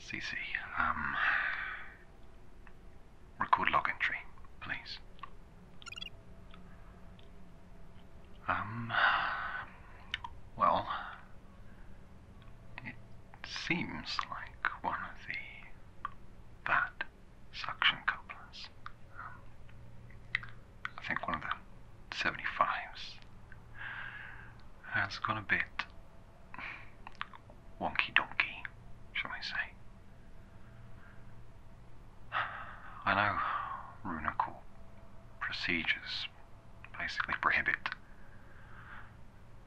CC, um, Record log entry, please. Um... Well... It seems like one of the... that suction couplers. Um, I think one of the 75s has gone a bit wonky donkey, shall we say. I know runical procedures basically prohibit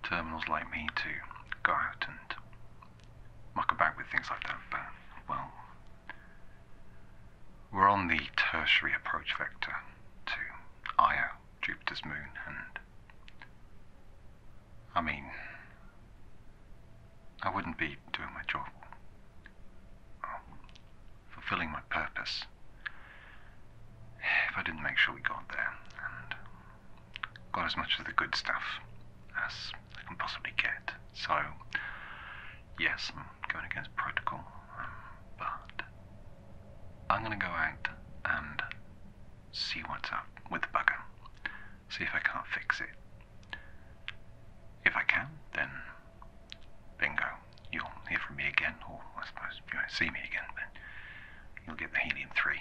terminals like me to go out and muck about with things like that, but, well, we're on the tertiary approach vector to Io. Jupiter's moon, and I mean, I wouldn't be doing my job, fulfilling my purpose, if I didn't make sure we got there and got as much of the good stuff as I can possibly get. So, yes, I'm going against protocol, um, but I'm gonna go out and see what's up with the bugger. See if I can't fix it. If I can, then bingo. You'll hear from me again, or I suppose you won't see me again, but you'll get the helium 3.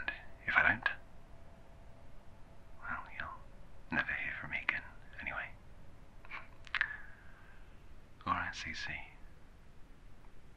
And if I don't, well, you'll never hear from me again anyway. Alright, CC.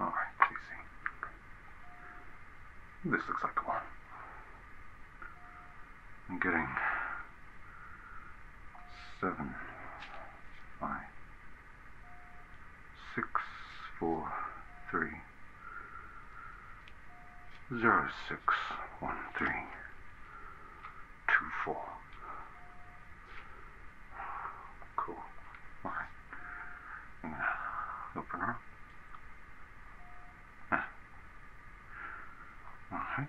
All right, Casey. This looks like the one. I'm getting seven, five six four three zero six one three two four. Cool. All right. And open her. Ah. All right.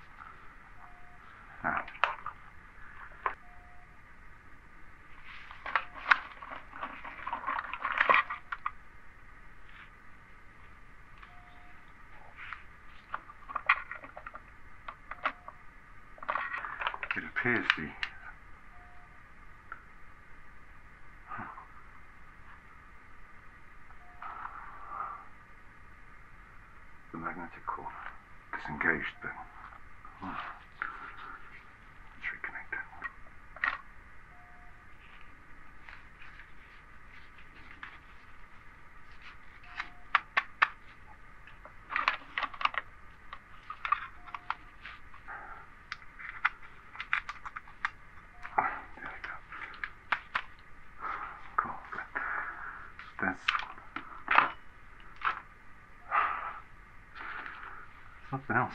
It appears the the magnetic core. Disengaged, then. Hmm. Let's reconnect it. There we go. Cool. This one. Something else.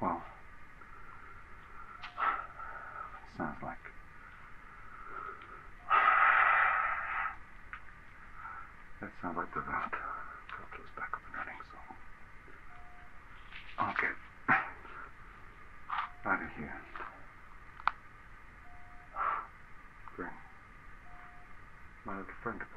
Well, sounds like. That sounds like the vent. Filter's back up and running, so. Okay. Out of here. Great my old friend aboard.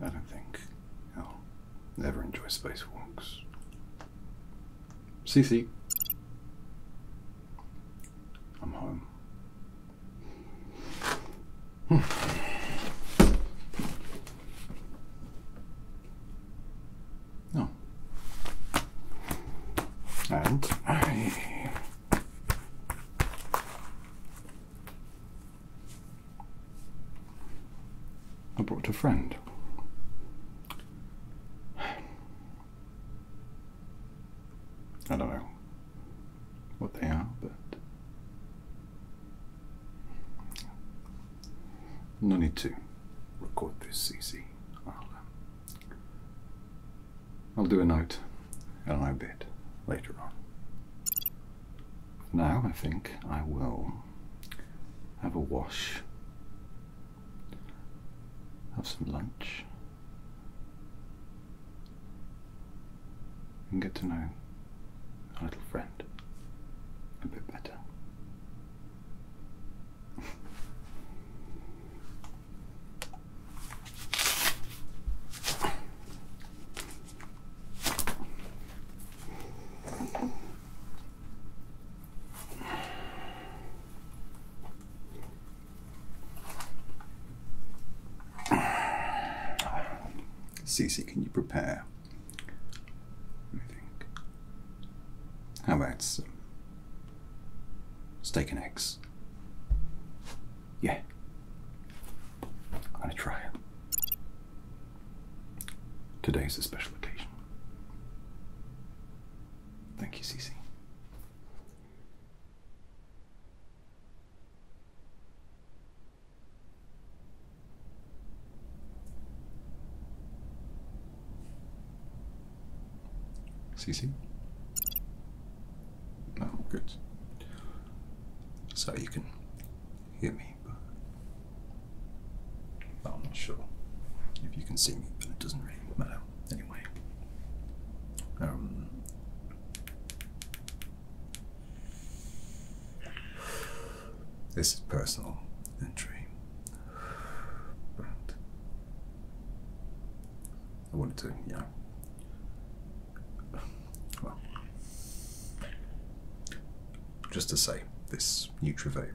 I don't think I'll ever enjoy spacewalks. CC. I'm home. No. Hmm. Oh. And I I brought a friend. I don't know what they are, but no need to record this, CC. Um, I'll, do a note and I bet later on now I think I will have a wash, have some lunch, and get to know our little friend a bit better. Cecil, can you prepare? I think. How about steak and eggs? Yeah. I'm gonna try it. Today is a special occasion. Thank you, Cece. Cece? No, good. So you can hear me. Well, I'm not sure if you can see me, but it doesn't really matter anyway. Um, this is personal entry, but I wanted to, you well, just to say, this Nutrivape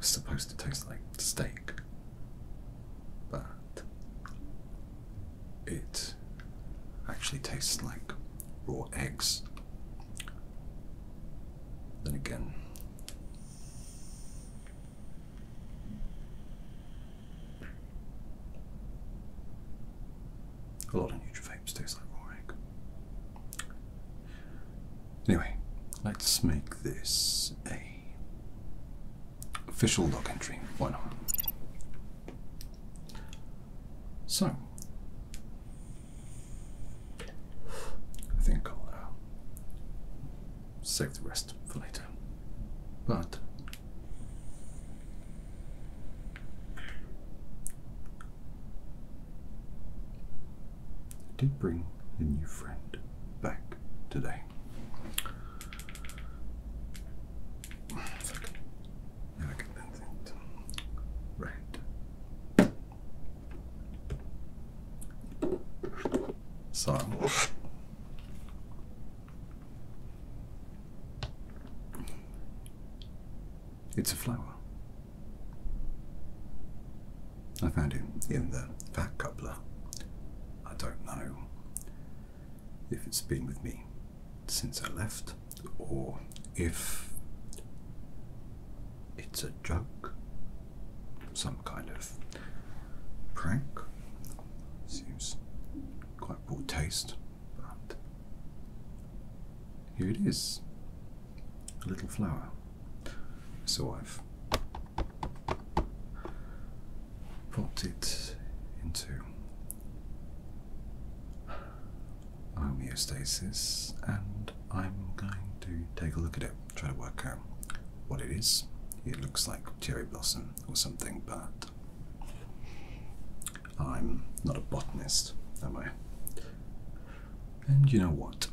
is supposed to taste like steak, but it actually tastes like raw eggs. Then again, a lot of neutrophils taste like raw Anyway, let's make this a official log entry. Why not? So, I think I'll uh, save the rest for later. But did bring a new friend back today. Right. So. It's a flower. I found it in the fat coupler. I don't know if it's been with me since I left or if it's a joke, some kind of prank. Seems quite poor taste. But here it is a little flower. So I've popped it into homeostasis and I'm going to take a look at it, try to work out what it is. It looks like cherry blossom or something, but I'm not a botanist, am I? And you know what?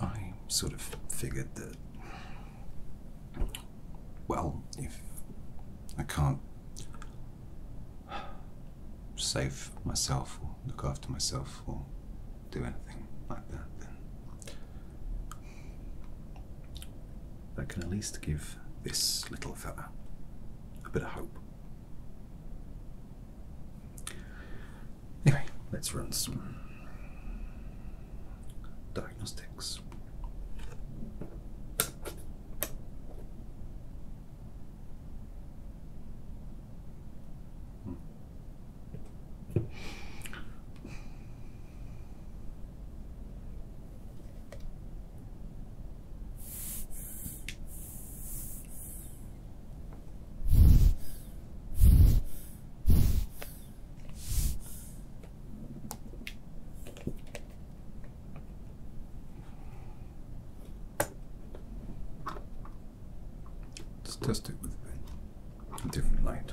I sort of figured that, well, if I can't save myself or look after myself or do anything like that, then I can at least give this little fella a bit of hope. Anyway, let's run some diagnostics. Let's test it with a different light.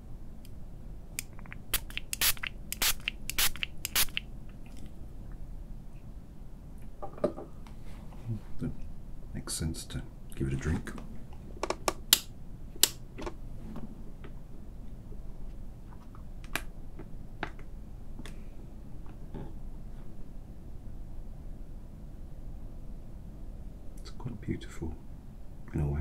That makes sense to give it a drink. It's quite beautiful in a way.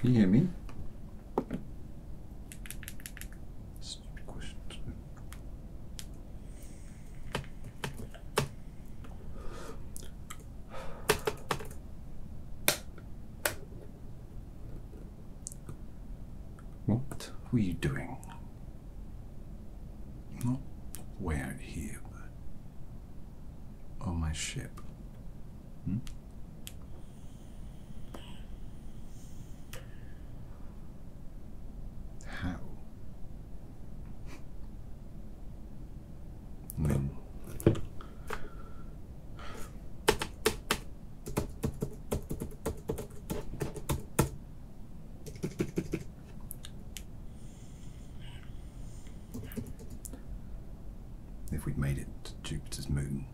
Can you hear me? Stupid question. What were you doing? Not way out here, but on my ship. Hmm? How? When If we'd made it to Jupiter's moon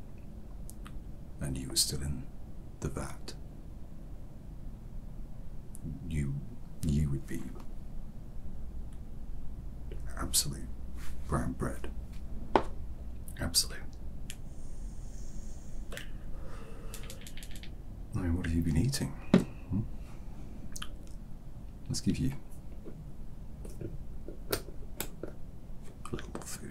and you were still in the vat, you you would be absolute brown bread. Absolute. I mean, what have you been eating? Hmm? Let's give you a little food.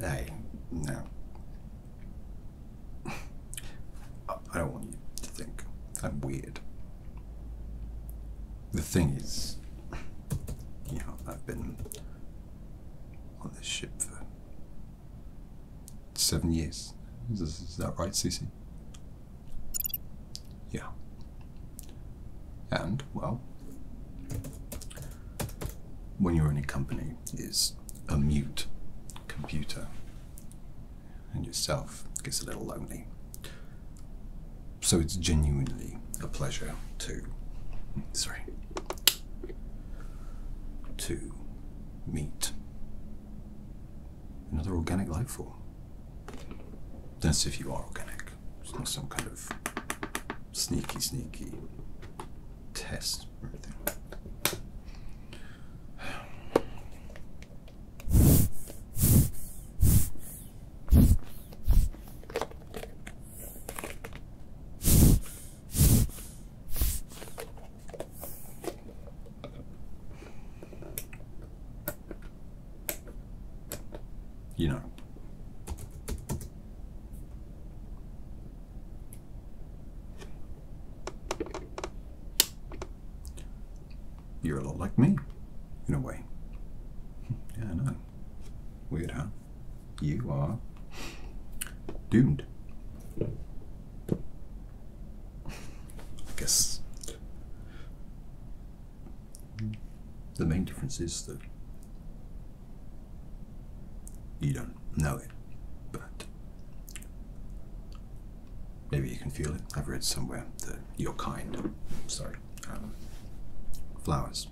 Hey, no. I don't want you to think I'm weird. The thing is, you know, I've been on this ship for seven years. Is, that right, Cece? Yeah. And, well, when you're in a company is a mute computer and yourself gets a little lonely. So it's genuinely a pleasure to, sorry, to meat. Another organic life form. That's if you are organic. It's not some kind of sneaky, sneaky test or anything. You know. You're a little like me, in a way. Yeah, I know. Weird, huh? you are doomed. I guess the main difference is that you don't know it, but maybe you can feel it. I've read somewhere that your kind, sorry, um, flowers,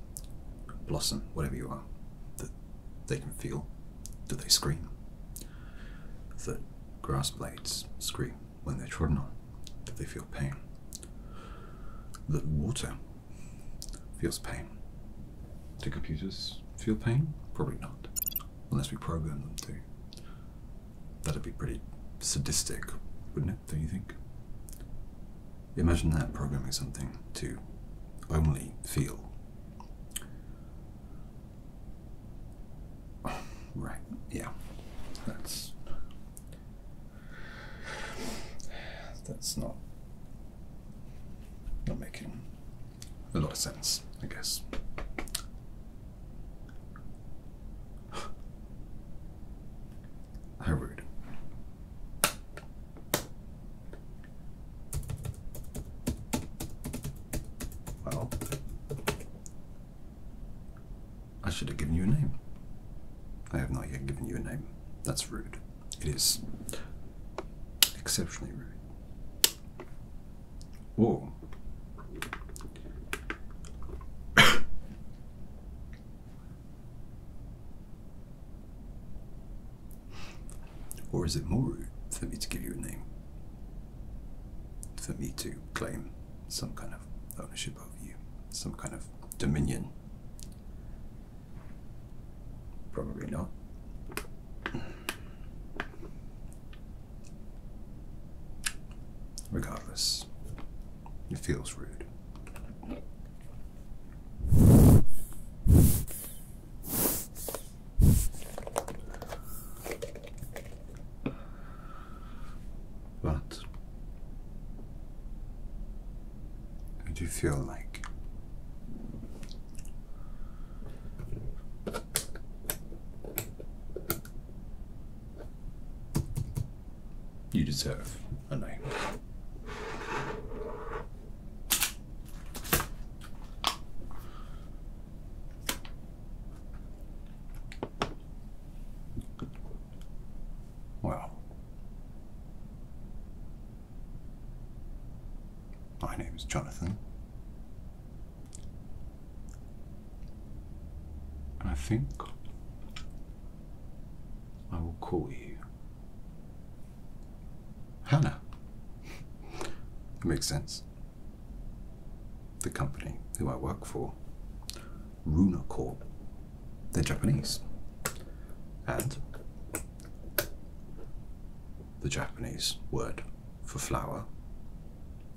blossom, whatever you are, that they can feel do they scream? The grass blades scream when they're trodden on. That they feel pain. The water feels pain. Do computers feel pain? Probably not. Unless we program them to. That'd be pretty sadistic, wouldn't it, don't you think? Imagine that programming something to only feel. Right, yeah. That's that's not not making a lot of sense, I guess. How rude. Well, I should have given you a name. I have not yet given you a name. That's rude. It is exceptionally rude. Whoa. Or is it more rude for me to give you a name? For me to claim some kind of ownership over you, some kind of dominion? Probably not. Regardless, it feels rude. But do you feel like you deserve a name. Well, my name is Jonathan. and I think I will call you Hannah. it makes sense. The company who I work for, Runa Corp, they're Japanese. And the Japanese word for flower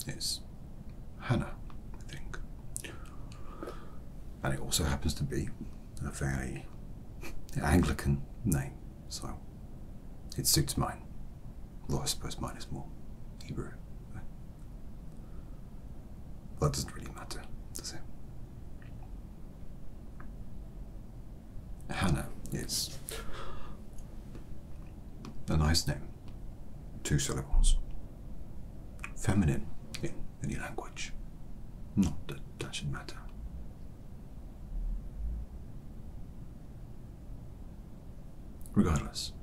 is Hannah, I think. And it also happens to be a very Anglican name. So, it suits mine. Though I suppose mine is more Hebrew. That doesn't really matter, does it? Hannah is a nice name. Two syllables. Feminine in any language. Not that that should matter. Regardless,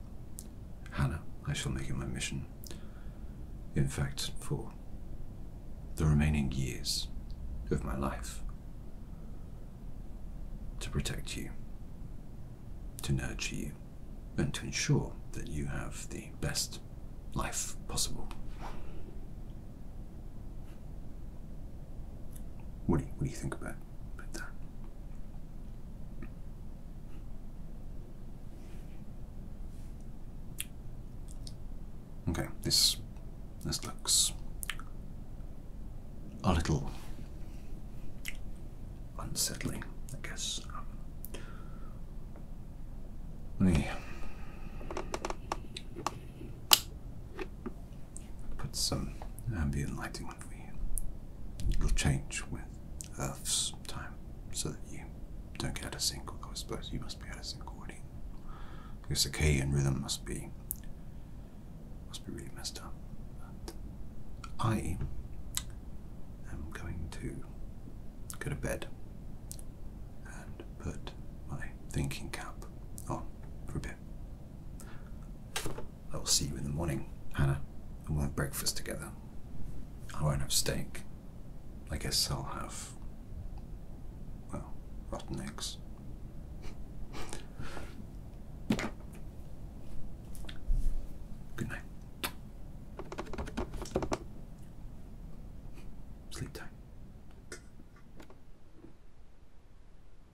Hannah, I shall make it my mission. In fact, for the remaining years of my life, to protect you, to nurture you, and to ensure that you have the best life possible. What do you, what do you think about, that? Okay, this this looks a little unsettling, I guess. Um, let me put some ambient lighting on for you. It'll change with Earth's time so that you don't get out of sync, although I suppose you must be out of sync already. Because the key and rhythm must be must be really messed up. But I am going to go to bed and put my thinking cap on for a bit. I will see you in the morning, Hannah, and we'll have breakfast together. I won't have steak. I guess I'll have, well, rotten eggs. Good night. Sleep tight.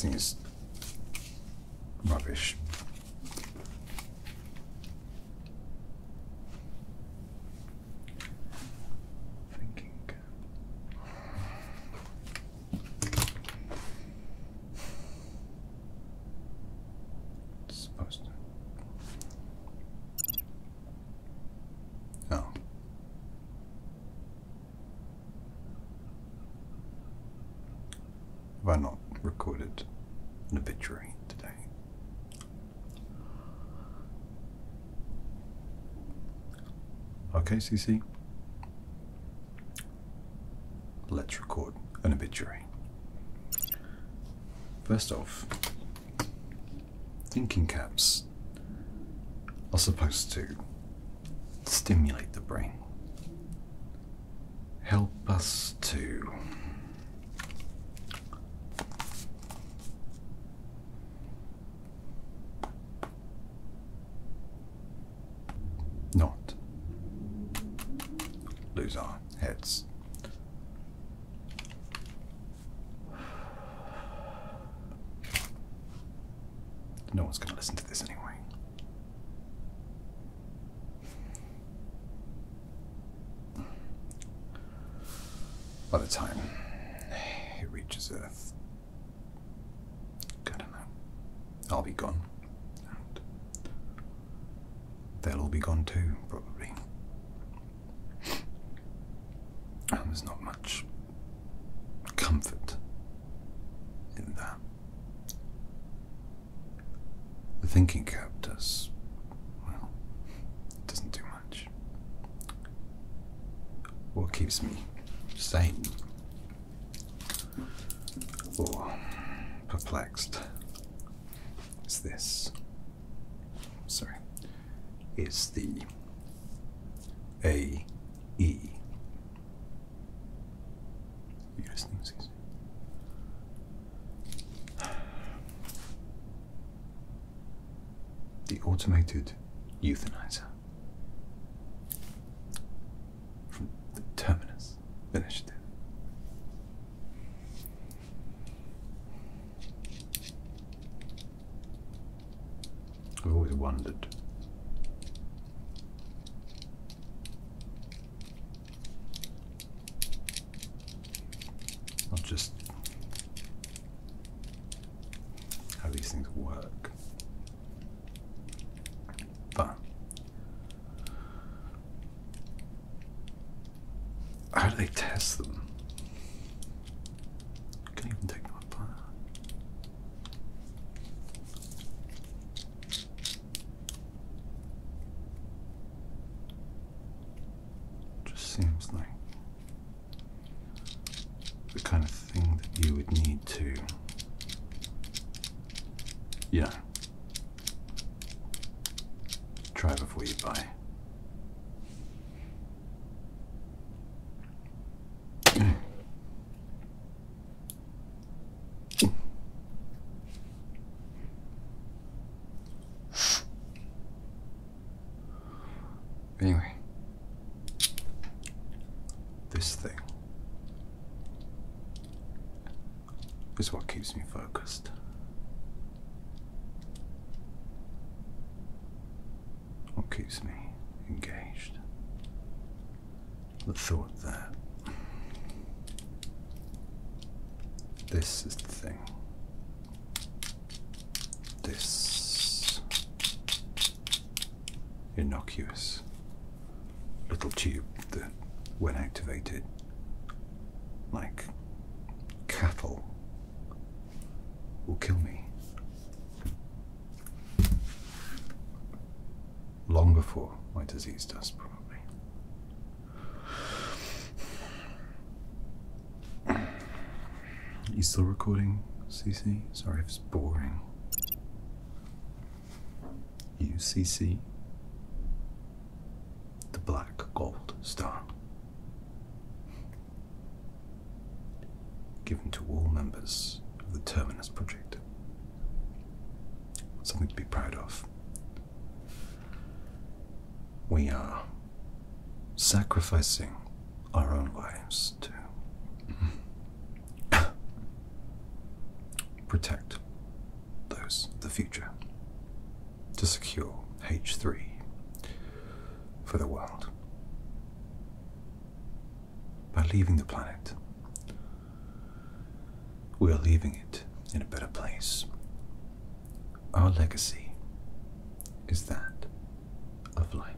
This thing is Rubbish. Thinking supposed Oh. Have I not recorded an obituary today? Okay, CC. Let's record an obituary. First off, thinking caps are supposed to stimulate the brain help us to not lose our heads. No one's going to listen to this anyway. By the time it reaches Earth, I don't know. I'll be gone. they'll all be gone too, probably. And there's not much comfort in that. The thinking cap does, well, it doesn't do much. What keeps me sane or perplexed is this. Sorry, is the A E the automated euthanizer from the Terminus Initiative. I've always wondered I'll just how these things work, but how do they test them? Can even take them apart. Just seems like the kind of thing that you would need to, yeah, try before you buy. Anyway, this thing is what keeps me focused. What keeps me engaged the thought that This is the thing. This innocuous little tube that, when activated, like cattle, will kill me long before my disease does, probably. You still recording, CC? Sorry if it's boring. U C C. The black gold star. Given to all members of the Terminus Project Something to be proud of. We are sacrificing our own lives to protect those the future, to secure H3 for the world by leaving the planet. We are leaving it in a better place. Our legacy is that of life.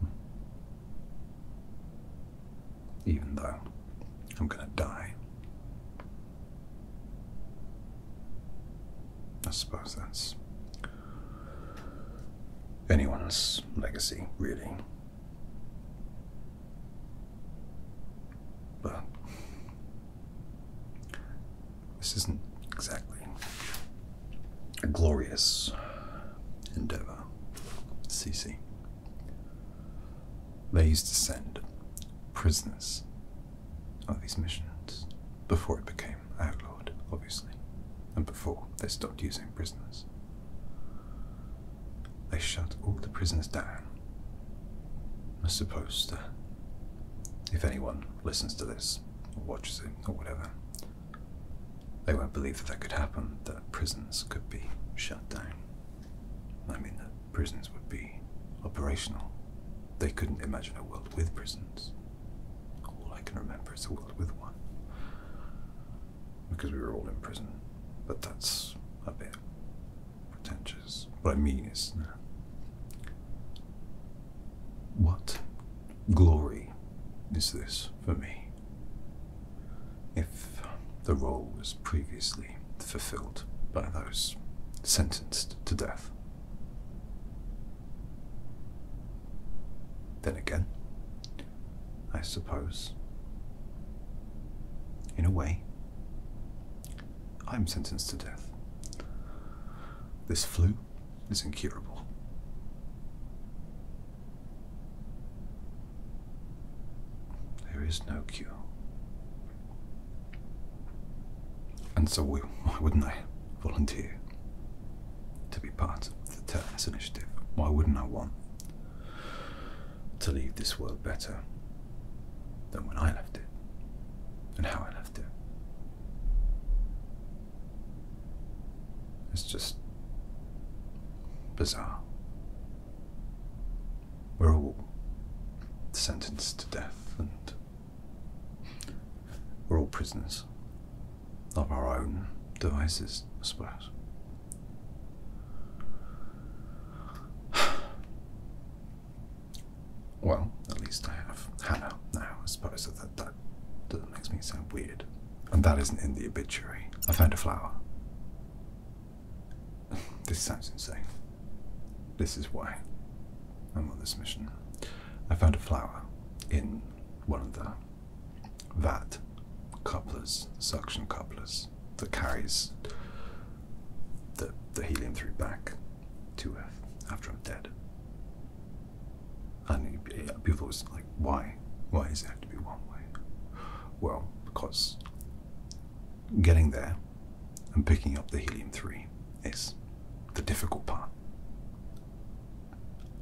Hmm. Even though I'm going to die. I suppose that's anyone's legacy, really. But this isn't exactly a glorious endeavor, Cece. They used to send prisoners on these missions before it became outlawed, obviously, and before they stopped using prisoners. They shut all the prisons down. I suppose if anyone listens to this, or watches it, or whatever, they won't believe that that could happen, that prisons could be shut down. I mean, that prisons would be operational. They couldn't imagine a world with prisons. All I can remember is the World with One. Because we were all in prison. But that's a bit pretentious. What I mean is. What glory is this for me? If the role was previously fulfilled by those sentenced to death. Then again, I suppose, in a way, I'm sentenced to death. This flu is incurable. There is no cure. And so, why wouldn't I volunteer? to be part of the Terminus Initiative. Why wouldn't I want to leave this world better than when I left it and how I left it? It's just bizarre. We're all sentenced to death and we're all prisoners of our own devices, I suppose. Well, at least I have Hannah now, I suppose that, that, that makes me sound weird. And that isn't in the obituary. I found a flower. this sounds insane. This is why I'm on this mission. I found a flower in one of the that couplers, suction couplers that carries the, the helium through back to Earth after I'm dead. And people always like, why? Why does it have to be one way? Well, because getting there and picking up the helium 3 is the difficult part.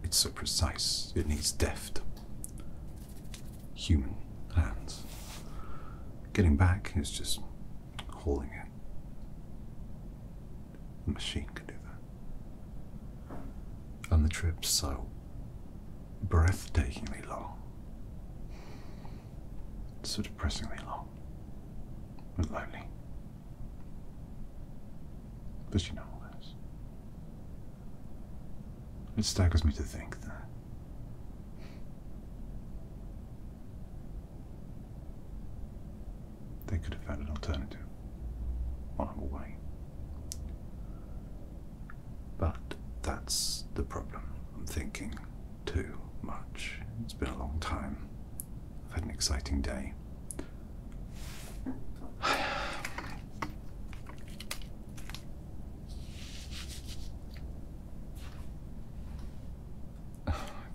It's so precise, it needs deft. Human hands. Getting back is just hauling it. The machine can do that. And the trip's so breathtakingly long. So depressingly long. And lonely. But you know all this. It staggers me to think that they could have found an alternative, honorable way. But that's the problem. I'm thinking too much. It's been a long time. I've had an exciting day.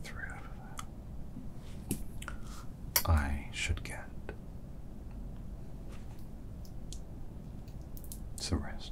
Three out of I should get some rest.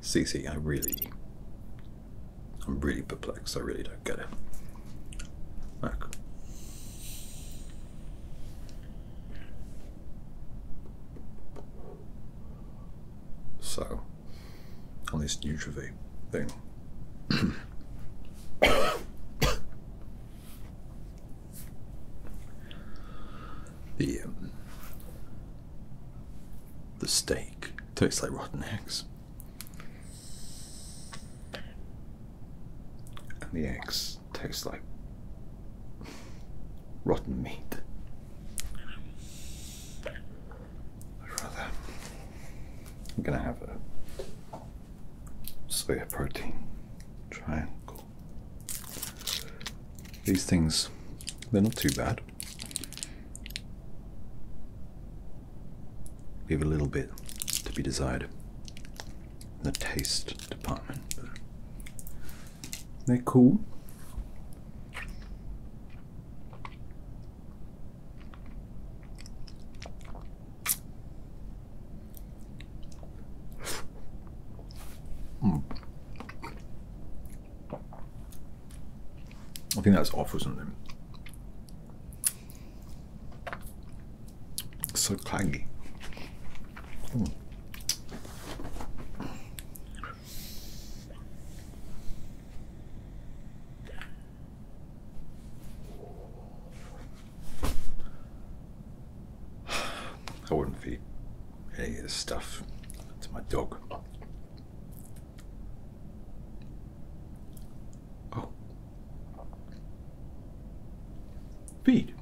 CC, I really, I'm really perplexed. I really don't get it. Look. So, on this Nutrivy thing. The um, the steak tastes like rotten eggs, and the eggs taste like rotten meat. I'd rather. I'm gonna have a soya protein. Try and go these things, they're not too bad. Leave a little bit to be desired in the taste department. They're cool. Hmm. I think that's off or something. so claggy. Hmm. I wouldn't feed any of this stuff to my dog. Oh. Feed.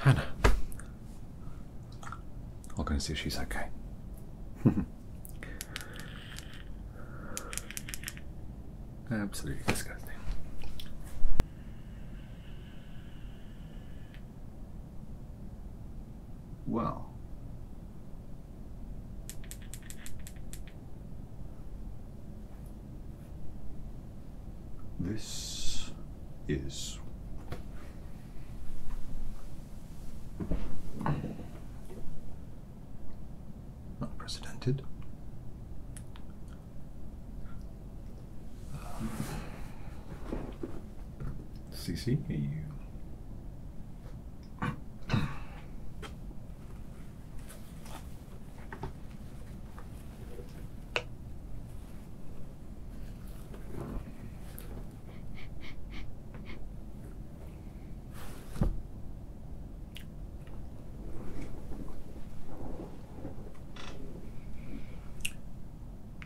Hannah. I'll go and see if she's okay. Absolutely disgusting. Well. This is Unprecedented. precedented. Um,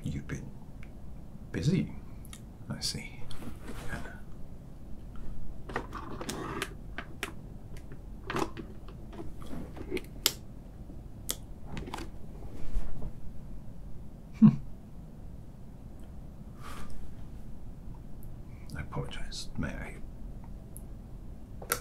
You've been busy, I see. Hmm. I apologize, may I? Okay.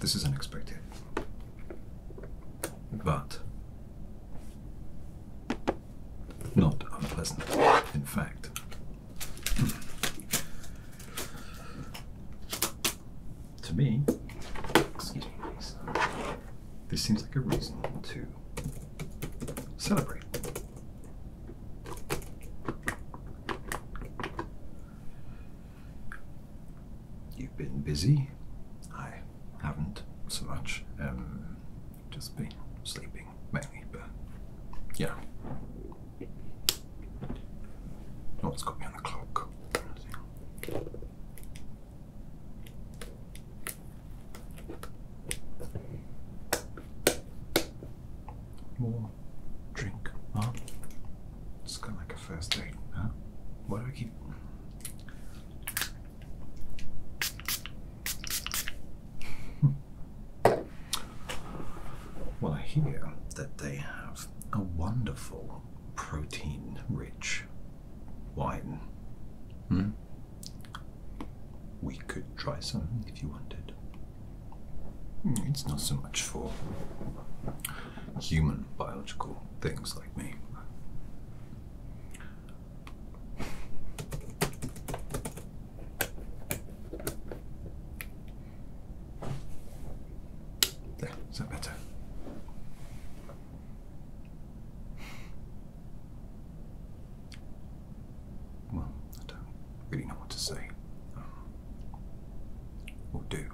This is unexpected. But not unpleasant, in fact. to me, this seems like a reason to celebrate. You've been busy. I haven't so much. Um, just been sleeping mainly, but yeah. No has got me on the clock more drink, huh? It's kind of like a first date, huh? Why do I keep. well, I hear that they have a wonderful protein rich wine. Hmm? We could try some if you wanted. Hmm, it's not so much for human biological things like me. There, is that better? Well, I don't really know what to say. Um, will do.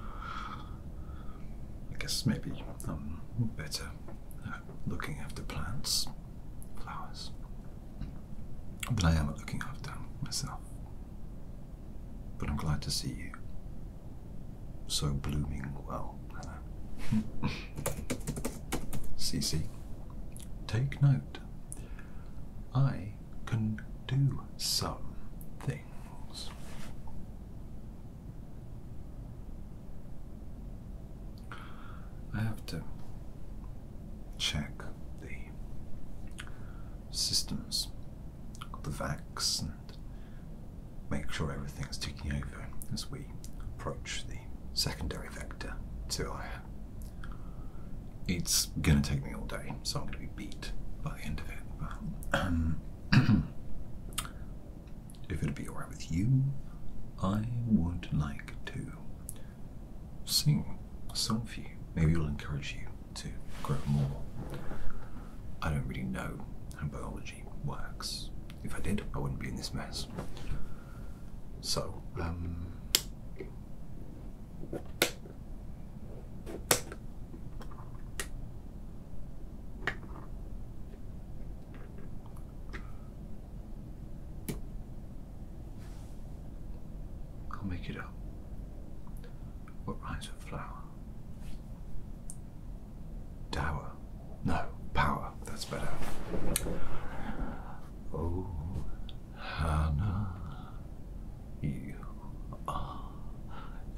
I guess maybe I'm better looking after plants, flowers, than I am at looking after myself. But I'm glad to see you so blooming well, Hannah. Cece, take note. I can do some things. I have to check the systems, the vax, and make sure everything's ticking over as we approach the secondary vector to our. It's gonna take me all day, so I'm gonna be beat by the end of it. But, if it'd be alright with you, I would like to sing a song for you. Maybe it'll encourage you to grow more. I don't really know how biology works. If I did, I wouldn't be in this mess. So, um, I'll make it up. What rhymes with flower? Dower. No, power. That's better. Oh, Hannah, you are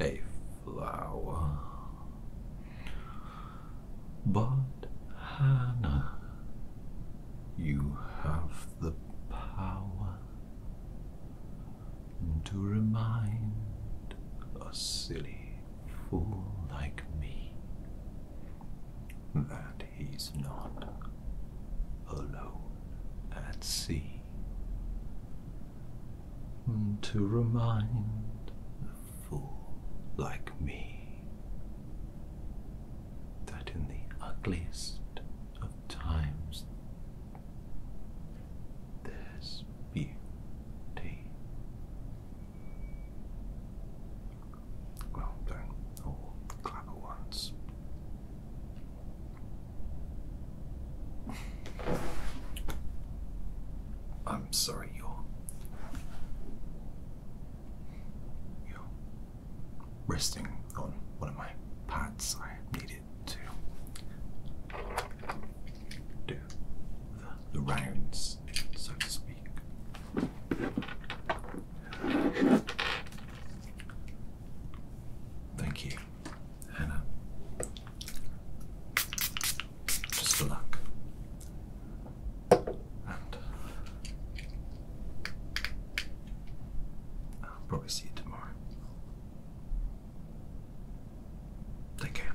a flower. But, Hannah, you have the power to remind a silly fool like me that he's not alone at sea. To remind a fool like me that in the ugliest of times there's beauty. Well, don't all clap at once. I'm sorry, you're. You're resting on one of my pads. I needed to do the, the rounds, so to speak. Thank you, Hannah. Just for luck. And I'll probably see you tomorrow. Take care.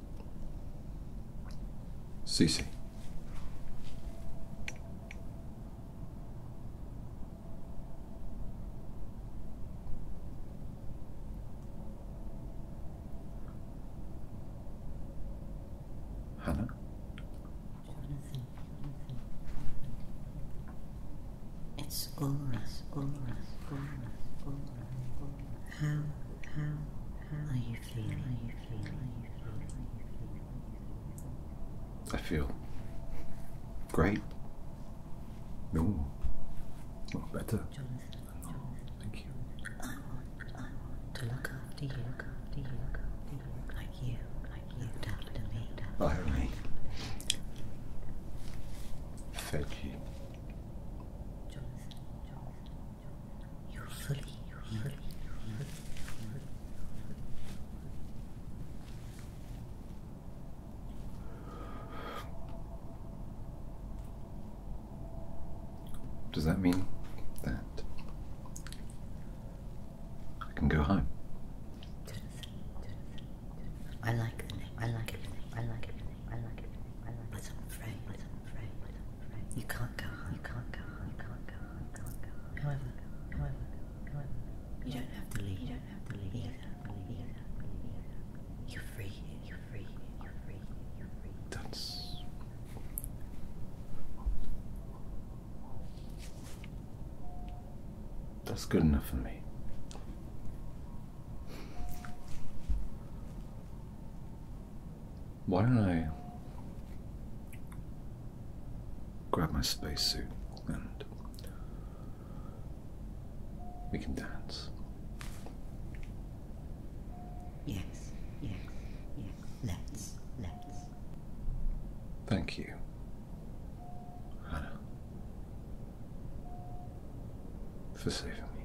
Cece. Hannah. Jonathan. It's all us, all us, all us, How, how, how are you feeling? I feel great. No, better. thank you. I you, like you, like me, looked me. Thank you usually, usually, usually. Does that mean that I can go home? I like the name. I like the name. I like the name. I like the name. I like the you can't go home. You can't go home. You can't go home. You can't go home. However, however, however, you don't have to leave. You don't have to leave either. Either. You're free. You're free. You're free. You're free. That's. That's good enough for me. Why don't I grab my spacesuit and we can dance? Yes, yes, yes. Let's, let's. Thank you, Hannah, for saving me.